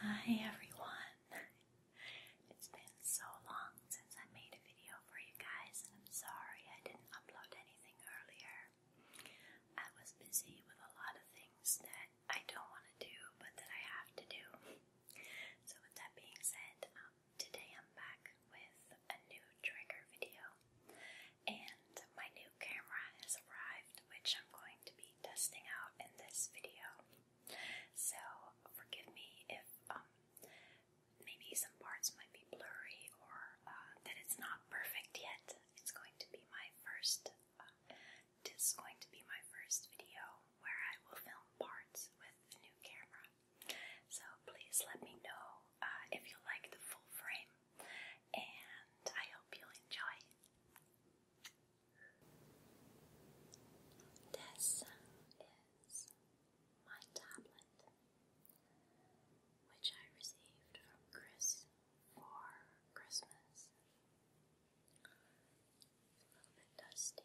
Hi everyone. It's been so long since I made a video for you guys and I'm sorry I didn't upload anything earlier. I was busy with a lot of things that I don't want to do but that I have to do. So with that being said, um, today I'm back with a new trigger video. And my new camera has arrived, which I'm going to be testing out in this video. So forgive me if um, maybe some parts might be blurry or uh, that it's not perfect yet. It's going to be my first. Uh, this is going to be my first video where I will film parts with the new camera. So please let me know uh, if you like the full frame, and I hope you'll enjoy. This is my tablet, which I received from Chris for Christmas. It's a little bit dusty.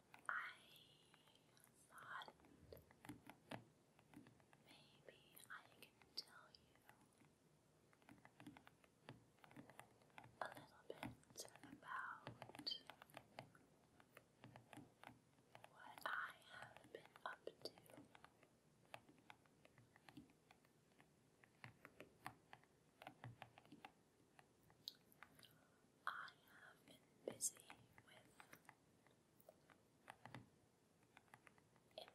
thought maybe I can tell you a little bit about what I have been up to. I have been busy with immigration. They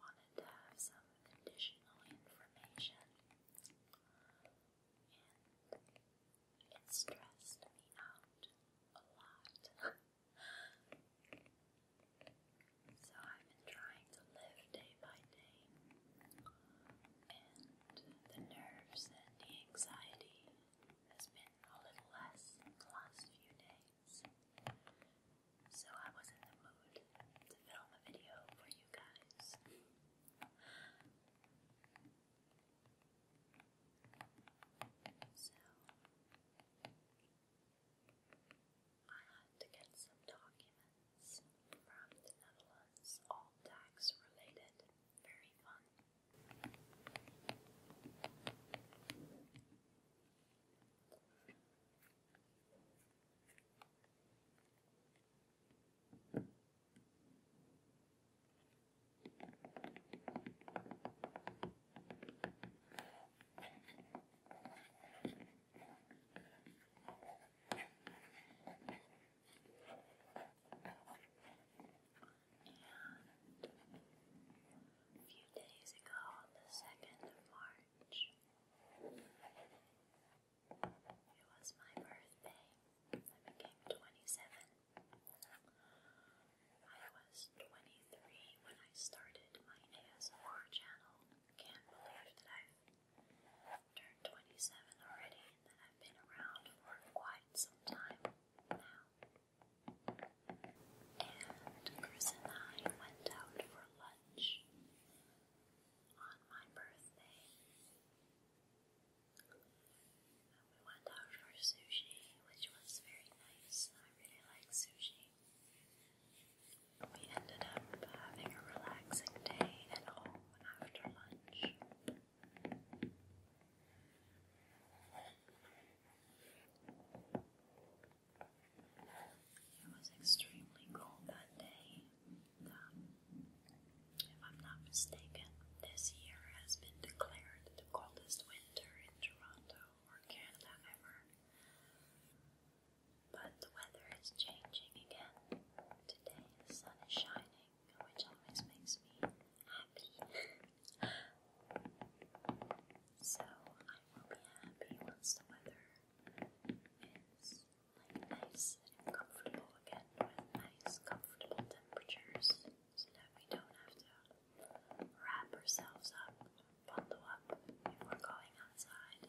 wanted to have some additional information, and it stressed me out a lot. So I've been trying to live day by day, and the nerves and the anxiety has been a little less in the last few days. So I was in the mood to film a video for you guys. So, I had to get some documents from the Netherlands, all tax related. Very fun. And a few days ago, on the 2nd of March, it was my birthday. I became 27. I was 23 when I started my ASMR channel. Can't believe that I've Turned 27 already, and I've been around for quite some time now. And Chris and I went out for lunch on my birthday. We went out for sushi, which was very nice. I really like sushi. We ended up having a relaxing day at home after lunch. It was extremely cold that day. Um, if I'm not mistaken, this year has been declared the coldest winter in Toronto or Canada ever. But the weather is changing again. Today the sun is shining, which always makes me happy. so I will be happy once the weather is nice and comfortable again with nice comfortable temperatures so that we don't have to wrap ourselves up, bundle up if going outside.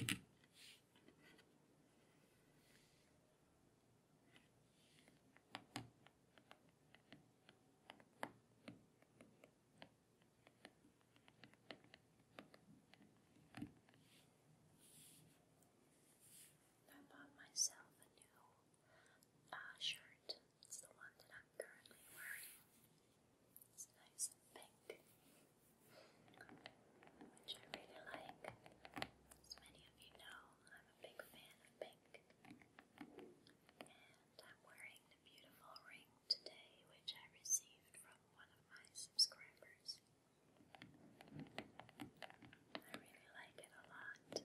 Okay. I bought myself a new uh, shirt it's the one that I'm currently wearing. It's nice and pink, which I really like. As many of you know, I'm a big fan of pink. And I'm wearing the beautiful ring today, which I received from one of my subscribers. I really like it a lot.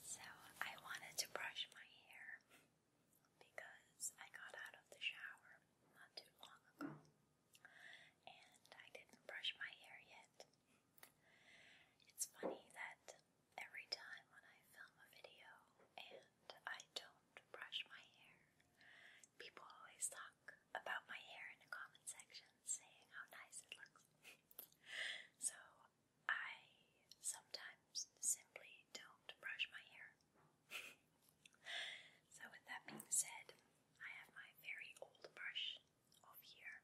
So I wanted to brush my hair because I got out of the shower not too long ago and I didn't brush my hair yet. It's funny that every time when I film a video and I don't brush my hair, people always talk about my hair in the comment section saying how nice it looks. so I sometimes simply don't brush my hair. so, with that being said, I have my very old brush off here,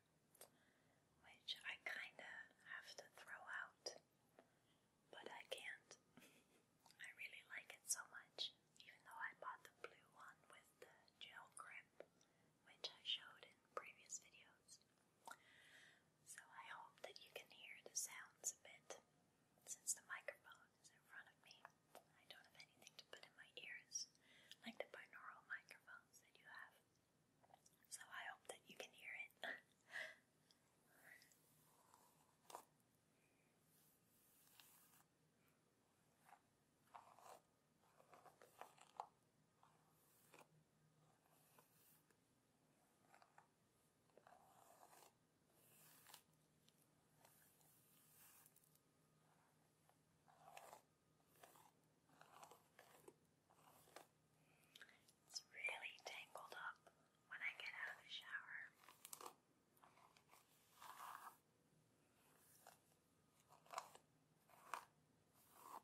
which I kinda have to throw out, but I can't. I really like it so much, even though I bought the blue one with the gel grip which I showed in previous videos. So I hope that you can hear the sounds a bit since the microphone is in front of me. I don't have anything to put in my ears like the binaural microphones that you have. So I hope that you can hear it. It's really tangled up when I get out of the shower.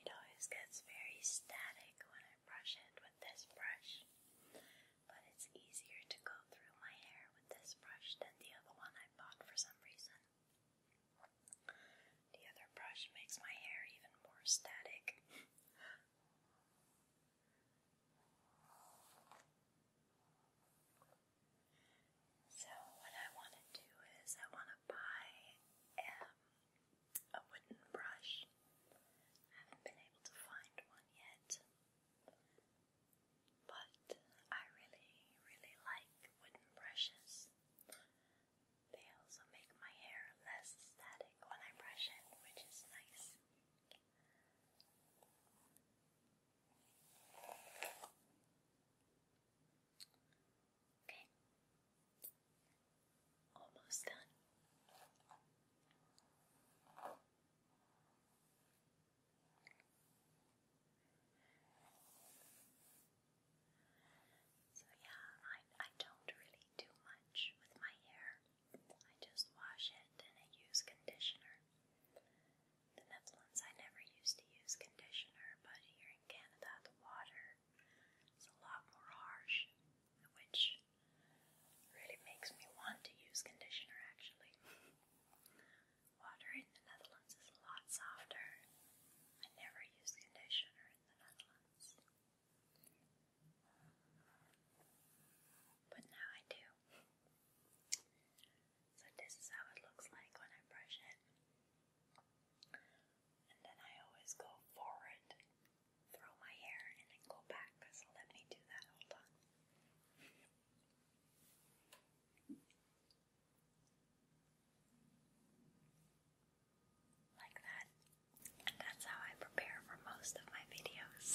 It always gets very static when I brush it with this brush, but it's easier to go through my hair with this brush than the other one I bought for some reason. The other brush makes my hair even more static. So, what I want to do is, I want to buy um, a wooden brush. haven't been able to find one yet. But I really, really like wooden brushes. They also make my hair less static when I brush it, which is nice. Okay. Almost done. So yeah, I I don't really do much with my hair. I just wash it and I use conditioner. The Netherlands I never used to use conditioner, but here in Canada the water it's a lot more harsh, which really makes me want to use conditioner actually. Water in the Netherlands is a lot softer. I never use conditioner in the Netherlands. But now I do. So this is how it looks like when I brush it. And then I always go forward throw my hair and then go back, so let me do that. Hold on. Like that. And that's how I prepare for most of my videos.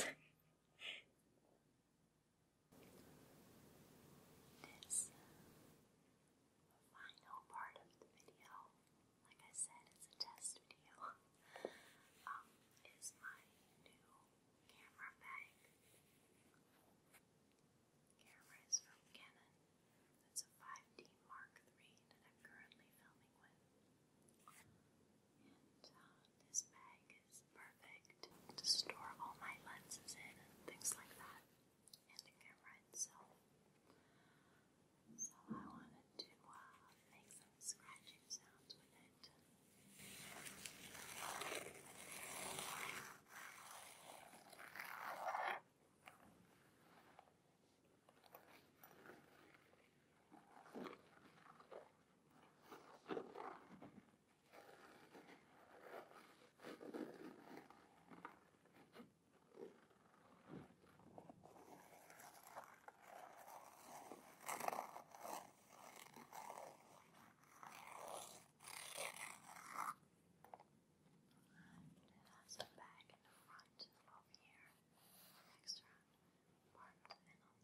this uh, final part of the video like I said, it's a test video, um, is my new camera bag. Camera is from Canon. It's a 5D Mark III that I'm currently filming with. And uh, this bag is perfect to store all my lenses in and things like that. And the camera itself. So I want to uh, make some scratching sounds with it. And it has a bag in the front over here, extra part, and on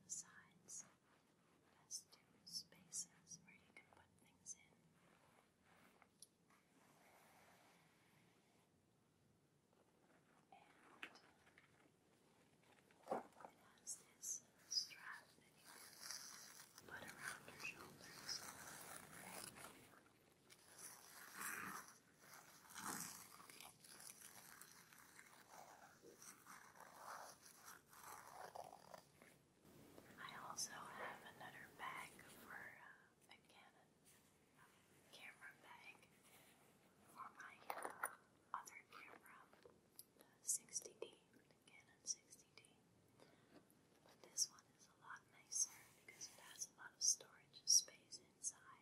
the sides has two spaces where you can put things in. And it has this uh, strap that you put around your shoulders. I also have another bag for uh, a Canon camera bag for my uh, other camera, the 60D, the Canon 60D. But this one is a lot nicer because it has a lot of storage space inside.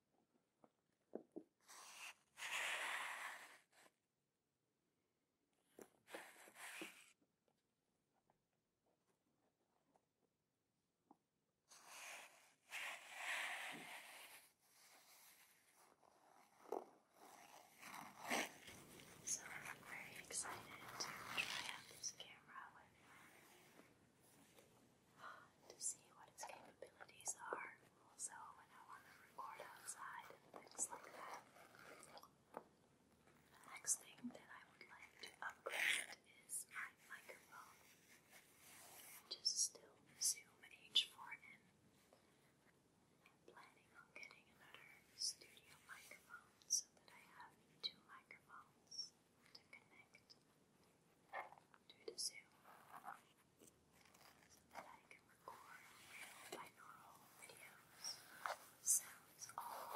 So I'm very excited to try out this camera with to see what its capabilities are. Also, when I want to record outside and things like that. The next thing that I would like to upgrade is my microphone, which is still Zoom H4n. ni planning on getting another studio microphone so that I have two microphones to connect to the Zoom so record real videos sounds all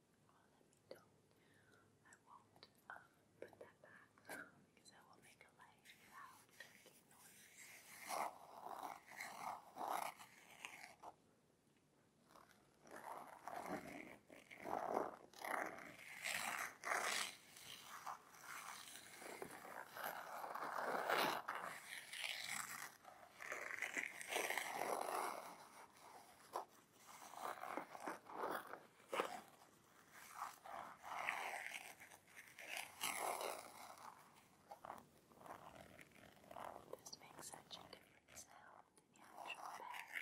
Well, let me do I won't put that back because that will make a light loud this makes such a different sound in the actual bag.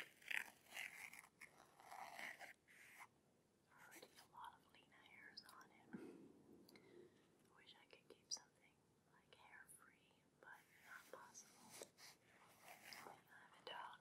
Already a lot of Lena hairs on it. wish I could keep something like hair free but not possible when I'm a dog.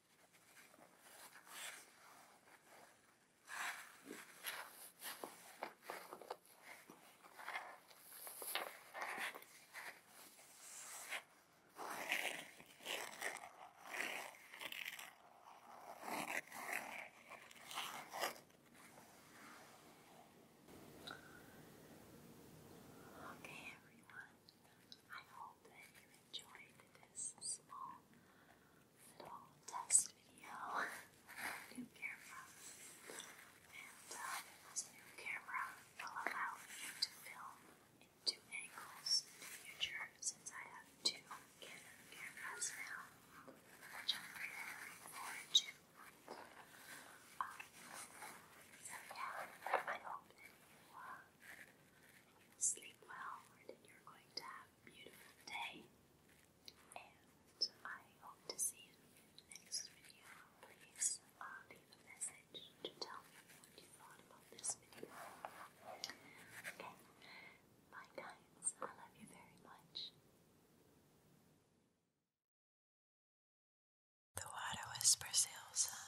Okay, everyone, I hope that you enjoyed this small little test video. new camera. And um, uh, this new camera will allow me to film in two angles in the future since I have two cameras now, which I'm really to. Um, so yeah, I hope you, uh, sleep well or you're going to have beautiful day, and I hope to see you in the next video. Please uh, leave a message to tell me what you thought about this video. Okay, bye guys, I love you very much. The water whispers Ilsa.